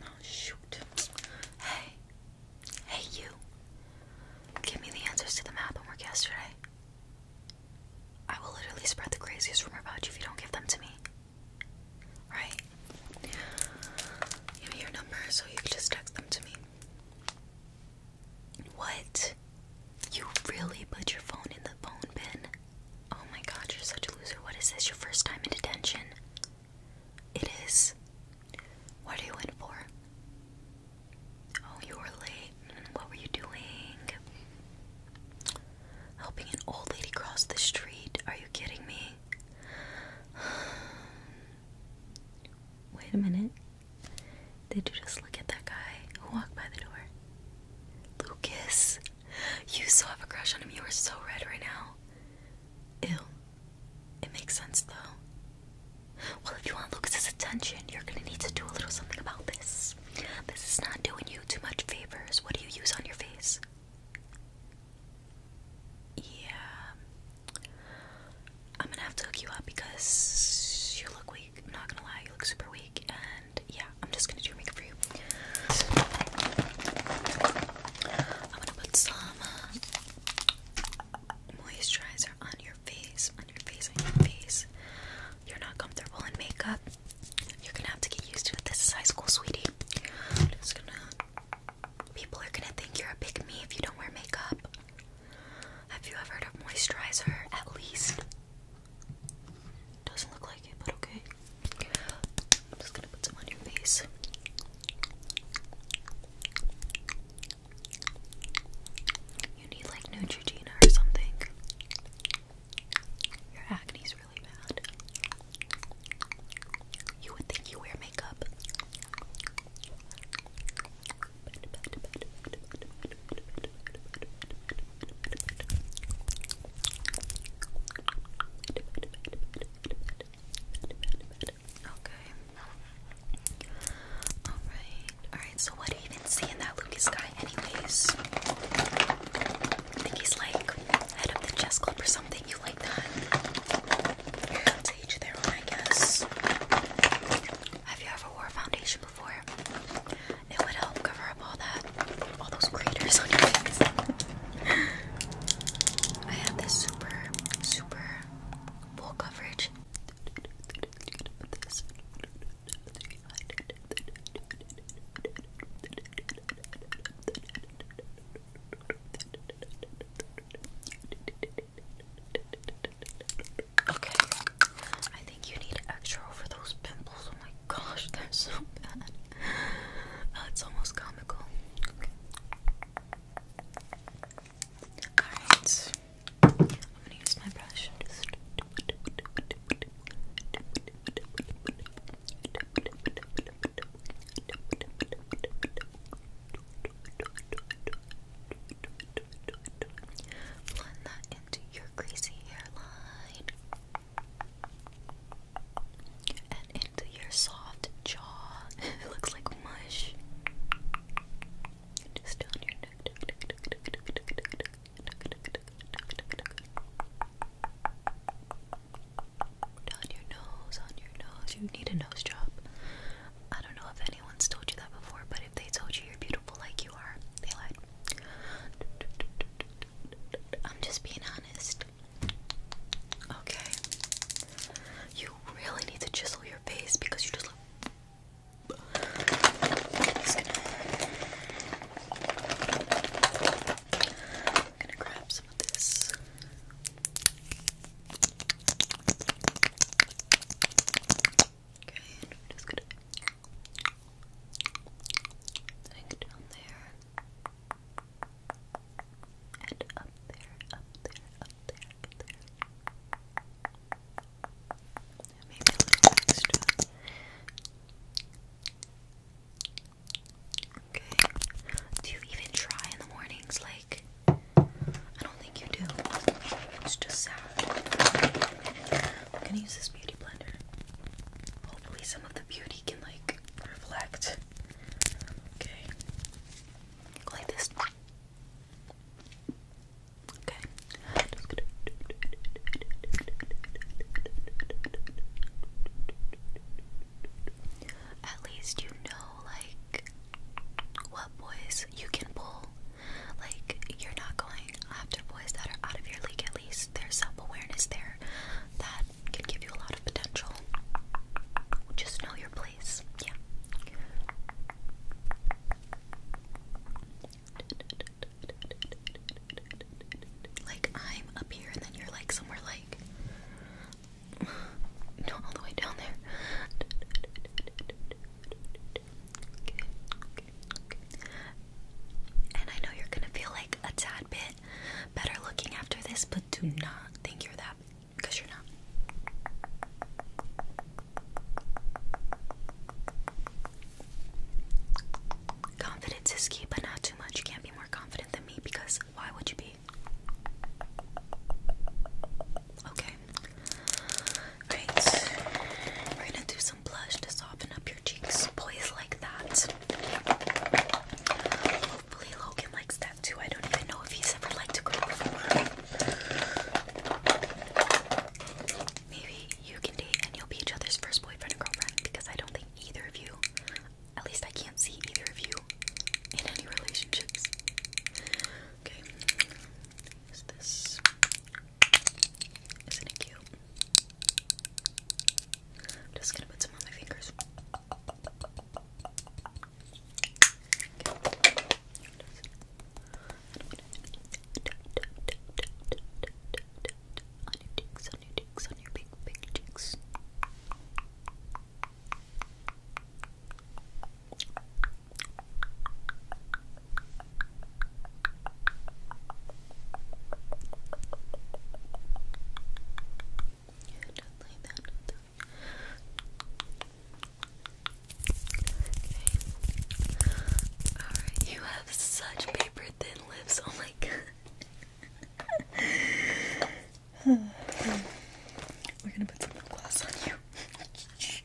Oh, shoot. Hey. Hey you. Give me the answers to the math homework yesterday. I will literally spread the craziest rumor about you if you don't give them to me. Right? Give me your number so you can just text them to me. What? You really put your phone in the phone bin? Oh my god, you're such a loser. What is this? Your first time in detention? It is. What are you in for? Oh, you were late. Mm, what were you doing? Helping an old lady cross the street. Are you kidding me? Wait a minute. Did you just look at that guy who walked by the door? Lucas. You still have a crush on him. You are so red right now. Ew. It makes sense though. Well, if you want Lucas's attention, you're gonna need to do a little something about this. This is not doing you too much favors. What do you use on your face? Yeah. I'm gonna have to hook you up because you look weak. I'm not gonna lie, you look super weak, yeah, I'm just gonna do your makeup for you. I'm gonna put some uh, moisturizer on your face, on your face, on your face. You're not comfortable in makeup. You're gonna have to get used to it. This is high school, sweetie. People are gonna think you're a pick me if you don't wear makeup. Have you ever heard of moisturizer? At least doesn't look like it, but okay. I'm just gonna put some on your face. You need like Neutrogena or something. Your acne's really bad. You would think you wear makeup. Okay. Alright. Alright, so what do you even see in that Lucas guy anyways? I think he's like head of the chess club or something. You like that? To each I guess. Have you ever wore foundation for. It would help cover up all that, all those craters on your face. I have this super, super full coverage. This. Okay, I you need extra for those pimples. Oh my gosh, they're so bad. Oh, it's almost comical. Alright. I'm gonna use my brush protect your greasy hairline and into your soft jaw. it looks like mush. down your neck. Down your nose, on your nose. You need a nose job. I don't know if anyone's told you that before, but if they told you you're beautiful like you are, they lied. I'm just being honest. Okay. You really need to chisel your face because you just look. I'm gonna grab some of this. Okay, I'm just gonna. Like down there. And up there, up there, up there, up there. maybe a little extra. Okay. Do you even try in the mornings? Like, I don't think you do. It's just sad. I'm gonna use this beauty blender. Hopefully, some of the beauty can like reflect. Okay, like this. Okay. At least you know, like, what boys you can pull like, you're not going after boys that are out of your league, at least. There's self awareness there that can give you a lot of potential. Just know your place. Yeah. Like, I'm up here, and then you're like somewhere like. No, all the way down there. And I know you're gonna feel like a tad bit better looking after this, but do not think you're that because you're not. Confidence is key, but not too much. You can't be more confident than me because why would you be? Okay. Great. We're gonna do some blush to soften up your cheeks. Boys like that. Hopefully Logan likes that too. I don't even know if he's ever liked a girl Maybe you can date and you'll be each other's first boyfriend and girlfriend because I don't think either of you, at least I can't see either of you in any relationships. Okay. Is this isn't it cute? I'm just gonna put some on my fingers. On your cheeks, on your cheeks, on your big, big cheeks. Yeah, just like that. Okay. Alright, you have such paper thin lips. Oh my god. We're gonna put some lip gloss on you.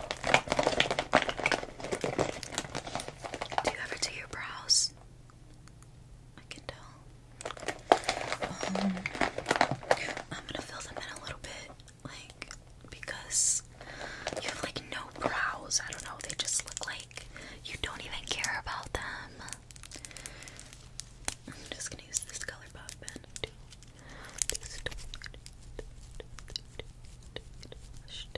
Do you ever do your brows? I can tell. Um, I'm gonna fill them in a little bit, like because you have like no brows. I don't know. They just look like you don't even care about them. I'm just gonna use this color pop pen. Like that.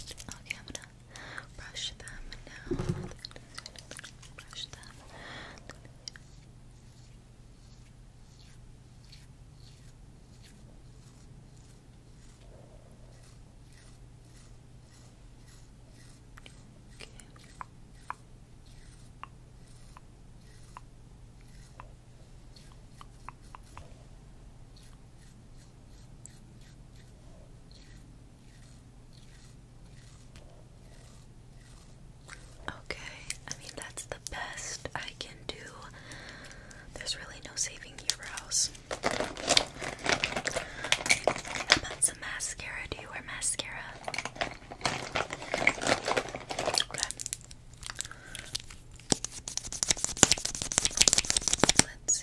Okay, I'm gonna brush them now. Brush them. Okay. Okay, I mean, that's the best I can do. There's really no saving eyebrows. How about some mascara? Do you wear mascara? Let's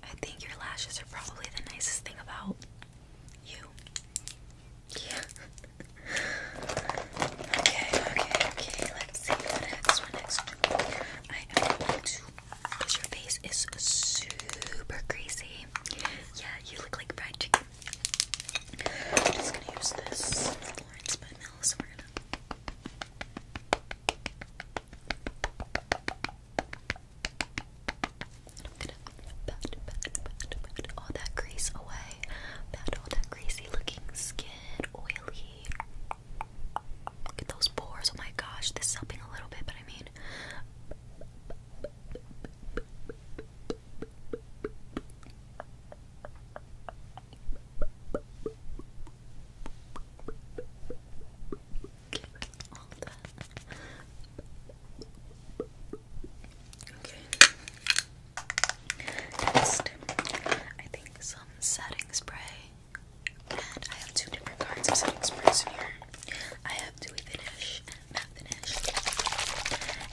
I think your lashes are probably the nicest thing about you. Yeah. okay, okay, okay. Let's see what next one next. I am going to because your face is super crazy. Yeah, you look like fried chicken. I'm just gonna use this Florence by Mills gonna pat, pat, pat, pat all that grease away. Pat all that greasy looking skin, oily. Look at those pores. Oh my gosh, this is helping a little bit, but I mean all that. Okay. Next, I think some setting spray. And I have two different kinds of setting sprays in here. I have dewy finish and matte finish.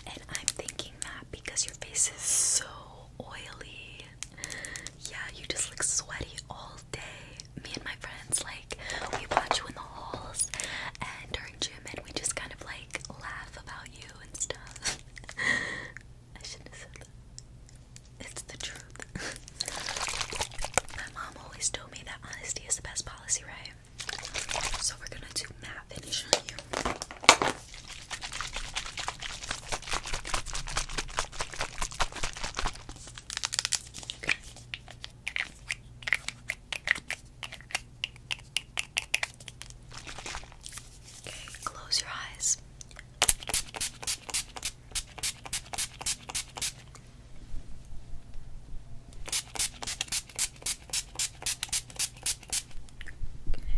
And I'm thinking that because your face is so oily, yeah, you just look sweaty all day. Me and my friends, like, we watch you in the halls and during gym, and we just kind of like laugh about you and stuff. I shouldn't have said that. It's the truth. my mom always told me that honesty is the best policy, right? So we're gonna do matte finish on you. Okay, close your eyes. Okay.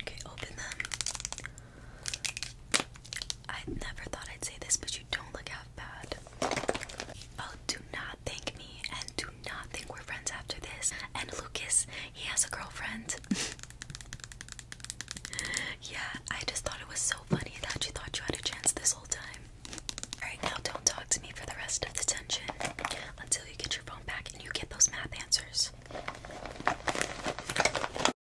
Okay, open them. I never thought I'd say this, but you don't look half bad. Oh, do not thank me, and do not think we're friends after this. And Lucas, he has a girlfriend. yeah, I just thought it was so funny that you thought you had a chance this whole time. Alright, now don't talk to me for the rest of the tension until you get your phone back and you get those math answers.